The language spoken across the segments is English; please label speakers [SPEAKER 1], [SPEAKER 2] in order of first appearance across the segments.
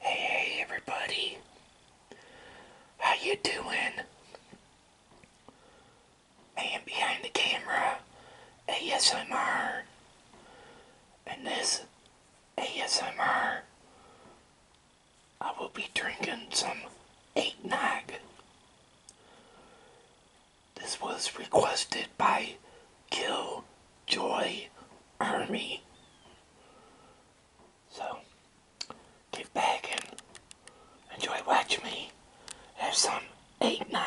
[SPEAKER 1] Hey, hey, everybody. How you doing? Man behind the camera, ASMR. And this ASMR, I will be drinking some eggnog. This was requested by Kill Joy Army. So, get back and enjoy watching me have some eggnog.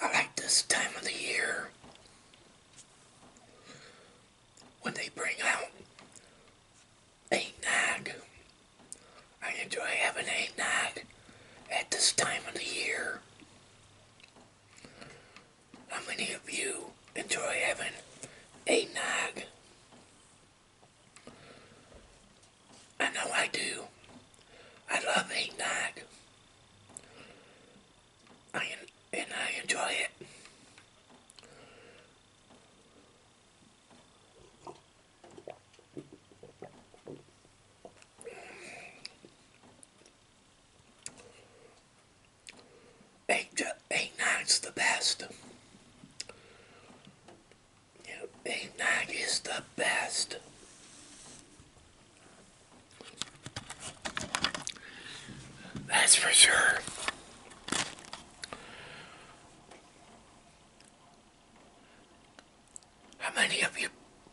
[SPEAKER 1] I like this time of the year when they bring out eggnog. I enjoy having eggnog at this time of the year. How many of you enjoy having eggnog? I know I do. I love eggnog. I and I enjoy it. Egg, eggnog's the best. A night is the best. That's for sure. How many of you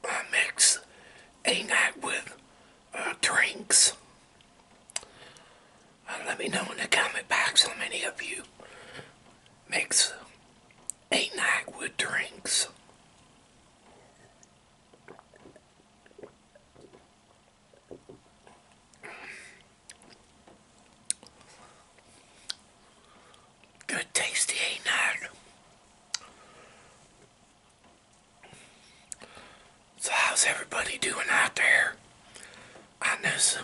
[SPEAKER 1] uh, mix a night with uh, drinks? Uh, let me know in the comment box how many of you mix a night with drinks. Good tasty ain't that? So how's everybody doing out there on this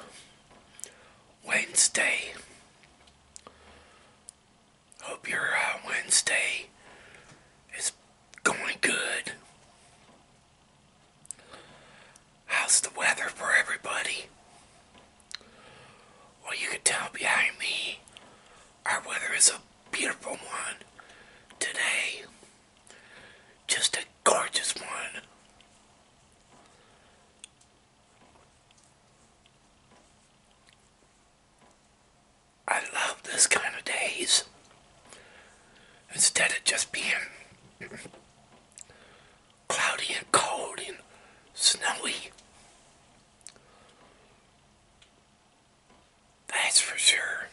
[SPEAKER 1] Wednesday? Hope your uh, Wednesday is going good. How's the weather for everybody? Well, you can tell behind me, our weather is a beautiful one today. Just a gorgeous one. I love this kind of days. Instead of just being cloudy and cold and snowy. That's for sure.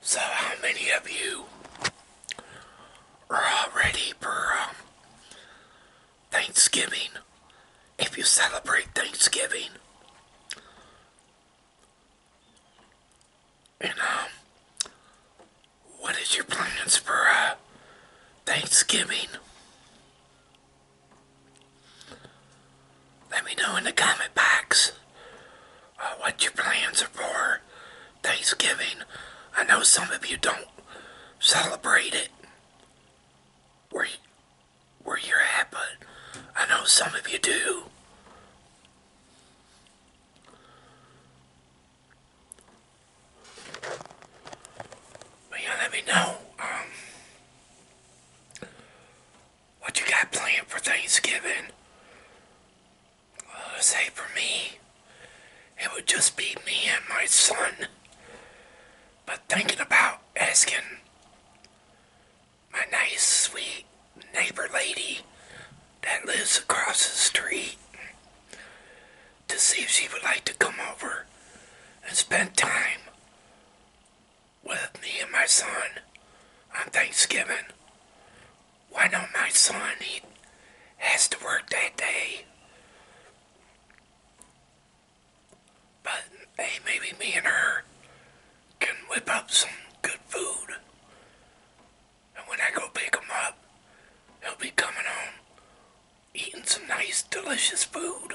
[SPEAKER 1] So how many of you are already for um, Thanksgiving? If you celebrate Thanksgiving, and um, what is your plans for uh, Thanksgiving? Let me know in the comment box uh, what your plans are for Thanksgiving. I know some of you don't celebrate it. Where where you're at, but I know some of you do. But yeah, let me know um, what you got planned for Thanksgiving. Uh, say for me, it would just be me and my son. But thinking about asking my nice, sweet neighbor lady that lives across the street to see if she would like to come over and spend time with me and my son on Thanksgiving. Why not my son? He has to work that day. But hey, maybe me and her can whip up some good food. And when I go pick him up, he'll be coming home eating some nice, delicious food.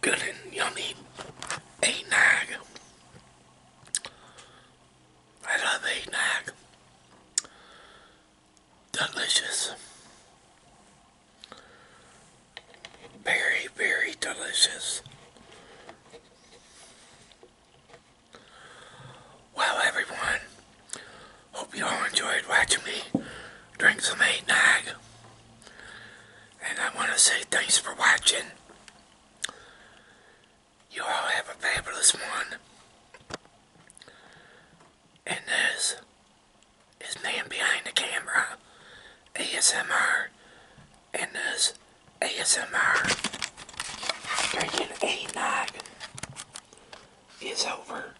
[SPEAKER 1] Good and yummy eggnog. I love eggnog. Delicious. Very, very delicious. Well, everyone, hope you all enjoyed watching me drink some eggnog. And I want to say thanks for watching. You all have a fabulous one. And this is Man Behind the Camera ASMR. And this ASMR drinking a nog is over.